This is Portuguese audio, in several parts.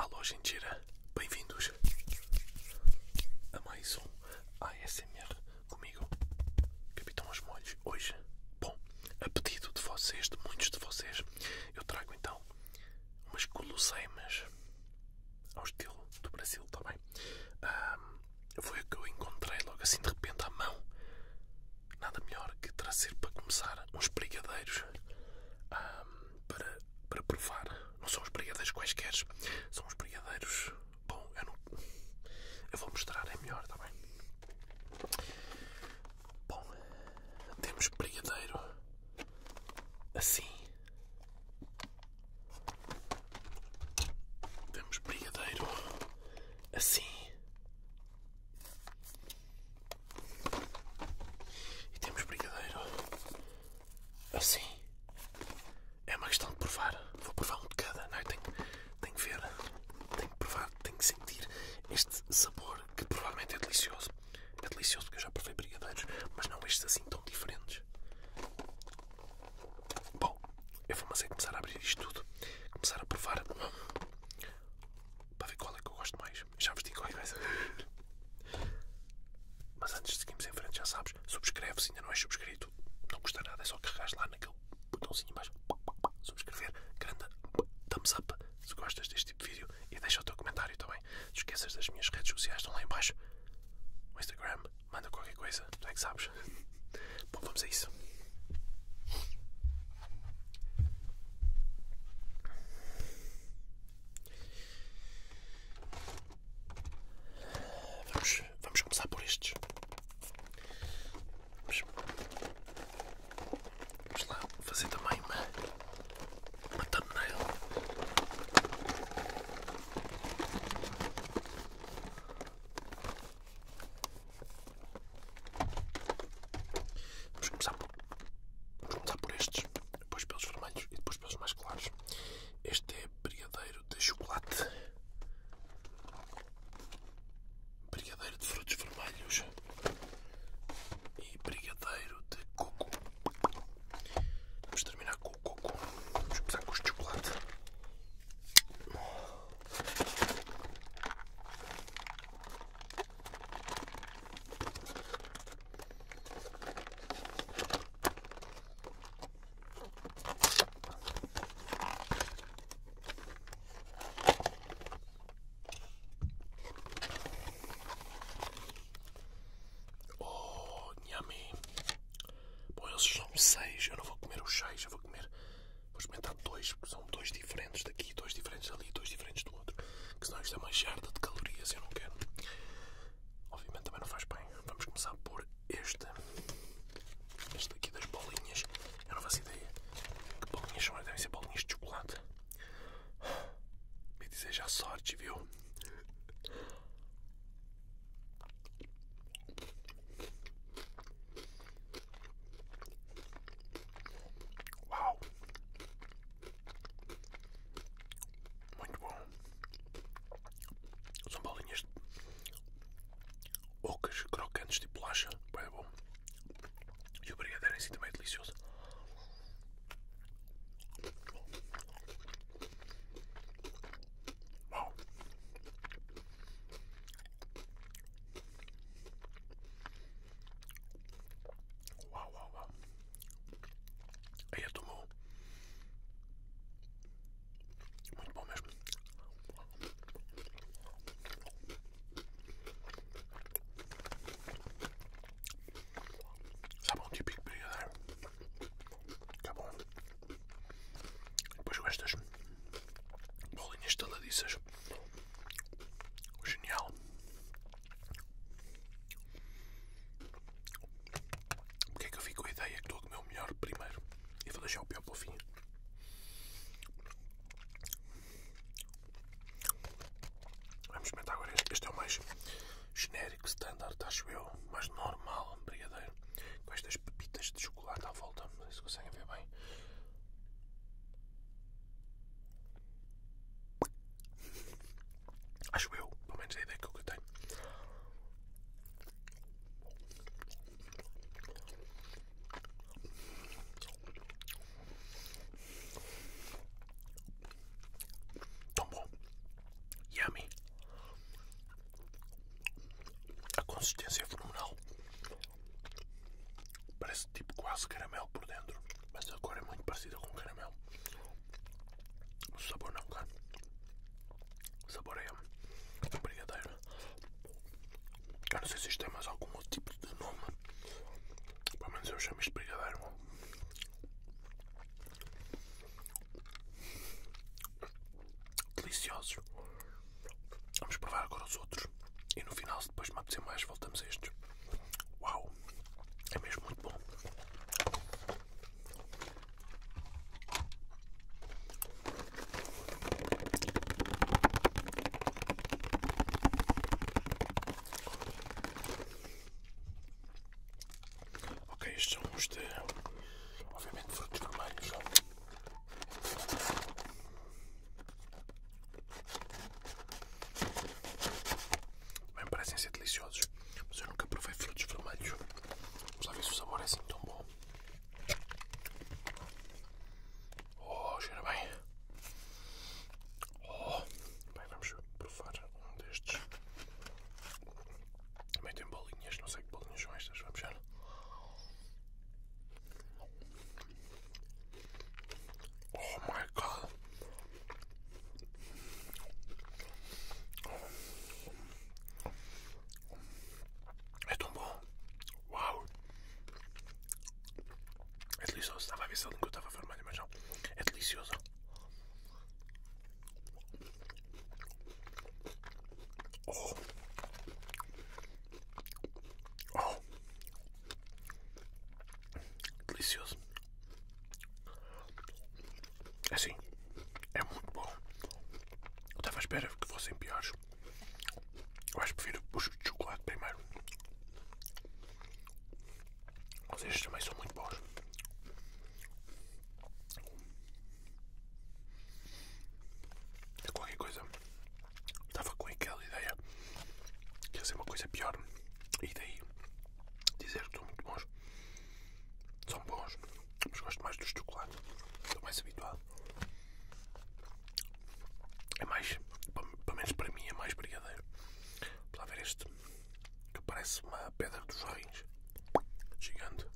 Alô, gentira, bem-vindos a mais um ASMR comigo, Capitão aos Molhos. Hoje, bom, a pedido de vocês, de muitos de vocês, eu trago então umas guloseimas ao estilo do Brasil, está bem? foi o que eu encontrei logo assim de repente à mão. Nada melhor que trazer para começar uns brigadeiros para, para provar. Não são os brigadeiros quaisquer, são os brigadeiros. Bom, eu não. Eu vou mostrar, é melhor, está bem? Bom, temos brigadeiro assim. temos brigadeiro assim. E temos brigadeiro assim. É uma questão de provar. Vou provar um de cada, não é? Tenho, tenho que ver, tenho que provar, tenho que sentir este sabor que provavelmente é delicioso. É delicioso porque eu já provei brigadeiros, mas não estes assim tão diferentes. Bom, eu vou mas assim começar a abrir isto tudo, começar a provar para ver qual é que eu gosto mais. Já vos digo qual é Mas antes de seguirmos em frente, já sabes, subscreve se ainda não és subscrito. Não custa nada, é só carregar lá naquele botãozinho embaixo subscrever, grande thumbs up se gostas deste tipo de vídeo e deixa o teu comentário também. Não esqueças das minhas redes sociais, estão lá embaixo. O Instagram, manda qualquer coisa, tu é que sabes. Bom, vamos a isso. Vamos, vamos começar por estes. Vamos. Vamos lá fazer também uma, uma thumbnail. Vamos começar, vamos começar por estes, depois pelos vermelhos e depois pelos mais claros. Este é brigadeiro de chocolate. brigadeiro de frutos vermelhos e brigadeiro de coco. Vamos terminar com o coco. Vamos começar com os de chocolate. Oh, yummy. Bom, eles são seis. Eu não vou comer os seis, eu vou comer. Vou experimentar dois, porque são dois diferentes daqui, dois diferentes ali, dois diferentes do outro. Que senão isto é uma jarda de calorias, e eu não quero. Obviamente também não faz bem. Vamos começar por este. Este daqui das bolinhas. Eu não faço ideia. Que bolinhas são, devem ser bolinhas de chocolate. Me deseja sorte, viu? Uau! Muito bom. São bolinhas ocas, crocantes, de tipo bolacha. Bem bom. E o brigadeiro é assim também delicioso. Uau! Uau, uau, Aí eu é tomou muito bom mesmo. Sabão tá típico brigadeiro. Tá bom. Depois com estas bolinhas taladiças. Genial. Porque é que eu fico com a ideia que estou a comer o melhor primeiro? E vou deixar o pior para o fim. Vamos experimentar agora este. Este é o mais genérico, standard, acho eu. Mais normal, brigadeiro. Com estas pepitas de chocolate à volta. Não sei se conseguem ver bem. Acho eu, pelo menos é a ideia que eu tenho. Tão bom. Yummy. A consistência é fenomenal. Parece tipo quase caramelo por dentro, mas a cor é muito parecida com caramelo. O sabor não, cara. O sabor é brigadeiro. Eu não sei se isto tem mais algum outro tipo de nome. Pelo menos eu chamo isto de brigadeiro. Deliciosos. Vamos provar agora os outros. E no final, se depois me apetecer mais, voltamos a estes. Uau! É mesmo muito bom. Ok, estes são os de, obviamente, frutos vermelhos. Bem, parecem ser deliciosos, mas eu nunca provei frutos vermelhos. Vamos lá ver se o sabor é assim tão bom. Oh, cheira bem. Oh, bem, vamos provar um destes. Também tem bolinhas, não sei que bolinhas são estas, vamos ver. Oh my god. É tão bom. Uau! É delicioso. Estava a ver se a língua estava vermelha, mas não. É delicioso. Oh! Oh! Delicioso. Assim, é muito bom. Eu estava à espera que fossem piores. Eu acho que prefiro os de chocolate primeiro. Mas estes também são muito bons. É qualquer coisa. Estava com aquela ideia de ser uma coisa pior. E daí dizer que são muito bons. São bons, mas gosto mais dos chocolates. Estou mais habituado. É mais, pelo menos para mim, é mais brigadeiro. Vou lá ver este que parece uma pedra dos rins gigante.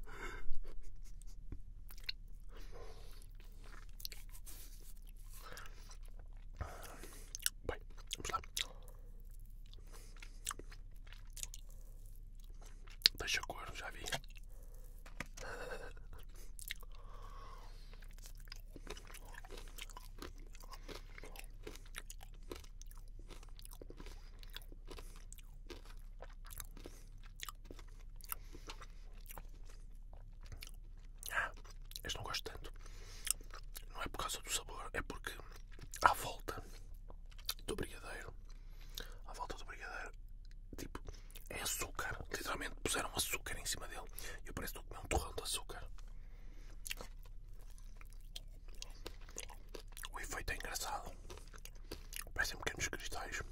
Bem, vamos lá. Deixa corno, já vi. Ah, este não gosto tanto. Não é por causa do sabor, é porque à volta do brigadeiro, à volta do brigadeiro, tipo, é açúcar. Literalmente puseram açúcar em cima dele. E eu parece que estou comer um torrão de açúcar. O efeito é engraçado. Parecem pequenos cristais.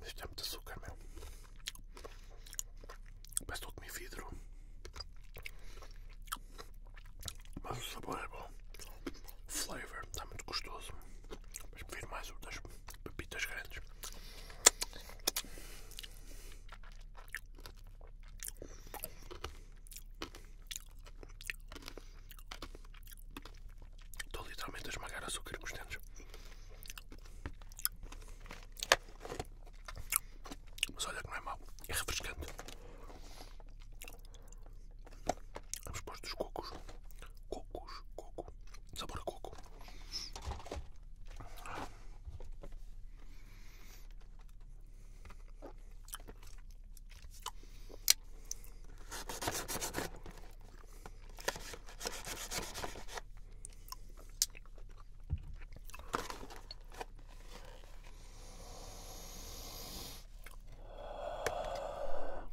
Mas é muito açúcar, meu. Parece que estou a comer vidro. Mas o sabor é bom. O flavor está muito gostoso. Mas prefiro mais o das pepitas grandes. Estou literalmente a esmagar açúcar com os dentes. Mas olha que não é mau, é refrescante. Vamos pôr dos cocos. Cocos, coco. Sabor a coco.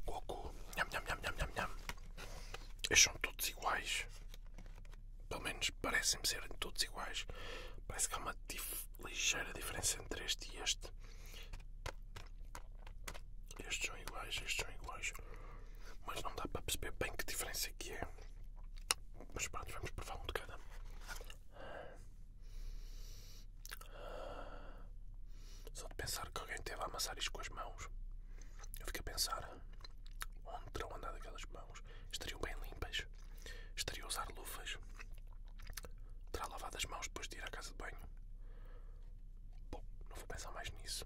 Goku, nham, nham, nham, nham, nham, nham. Eles são todos iguais. Pelo menos parecem-me serem todos iguais. Parece que há uma ligeira diferença entre este e este. Estes são iguais, estes são iguais. Mas não dá para perceber bem que diferença que é. Mas pronto, vamos provar um de cada. Só de pensar que alguém teve a amassar isto com as mãos, eu fico a pensar onde terão andado aquelas mãos. Estariam bem limpas? Estariam a usar luvas? Terá lavado as mãos depois de ir à casa de banho? Bom, não vou pensar mais nisso.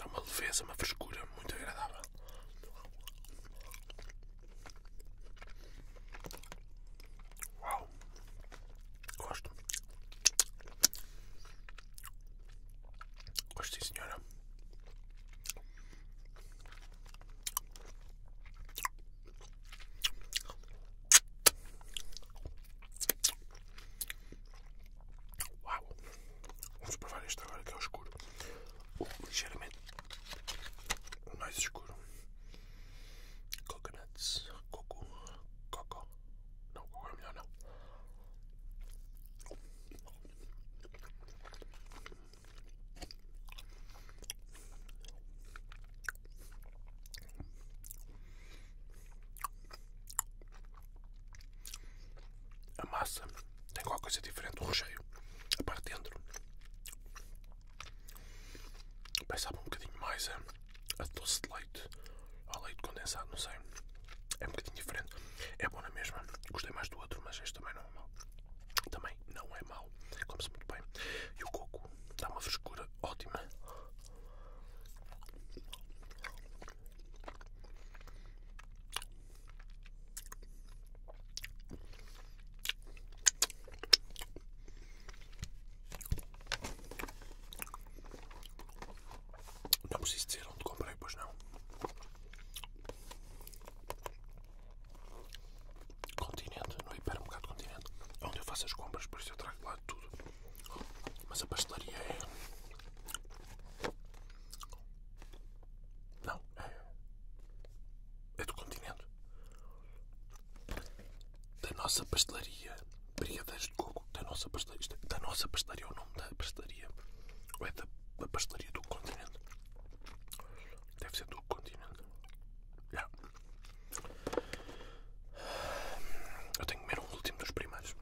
Há é uma leveza, uma frescura muito agradável. Uau! Gosto. Gosto, sim, senhora. Uau! Vamos provar este agora que é o escuro. Ligeiramente mais escuro. Coconuts, coco, coco. Não, agora é melhor não. A massa tem qualquer coisa diferente do recheio. A parte de dentro. Pensava um bocadinho mais a, doce de leite. Ao leite condensado, não sei. É um bocadinho diferente. É bom na mesma. Gostei mais do outro, mas este também não é mau. Também não é mau. começa muito bem. E o coco dá uma frescura ótima. Não preciso dizer onde comprei, pois não. Continente, não é para no hipermercado Continente, é onde eu faço as compras, por isso eu trago lá tudo. Mas a pastelaria é. Não, é. É do continente. Da nossa pastelaria. Brigadeiros de coco. Da nossa pastelaria. É, da nossa pastelaria é o nome da pastelaria. Ou é da, pastelaria do continente? Deve ser do continente. Yeah. Eu tenho que comer o último dos primários.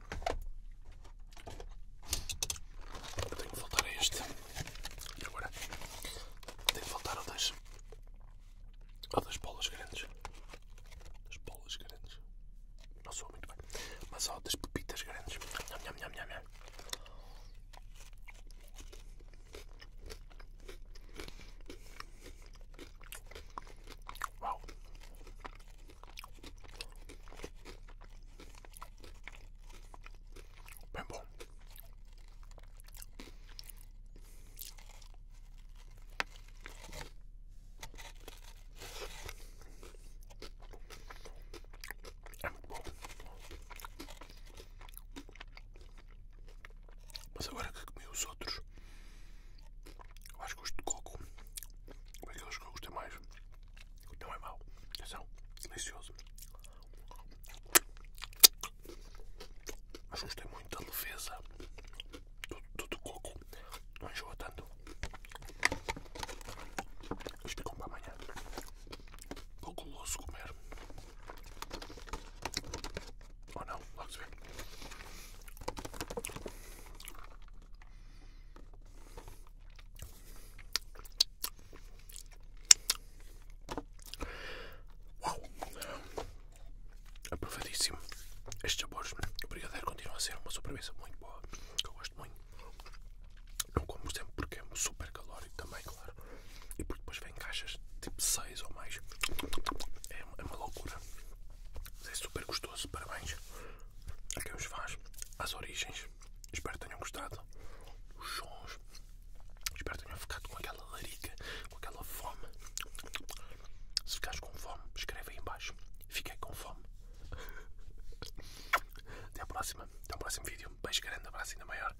Eu tenho que voltar a este. E agora tenho que voltar ao das. ao das bolas grandes. Das bolas grandes. Não sou muito bem. Mas ao das pepitas grandes. Nham, nham, nham, nham. Uau! Bem bom. É muito bom. Mas agora que comi os outros, eu acho que os de coco, ou aqueles que eu gosto é mais, não é mau. Atenção, delicioso. Mas gostei muito da leveza do, do, coco. Não enjoa tanto. Isto ficou é para amanhã. Pouco louco comer. Oh no, looks good. Uau! Aprovadíssimo. Estes sabores, o brigadeiro continua a ser uma sobremesa muito boa, que eu gosto muito. Não como sempre porque é super calórico também, claro. E porque depois em caixas tipo 6 ou mais. É, é, uma loucura. Mas é super gostoso. Parabéns a quem os faz, às origens. Espero que tenham gostado. Os sons. Espero que tenham ficado com aquela larica, com aquela fome. Se ficaste com fome, escreve aí embaixo. Fiquei com fome. Até a próxima. Até ao próximo vídeo. Beijo grande, abraço ainda maior.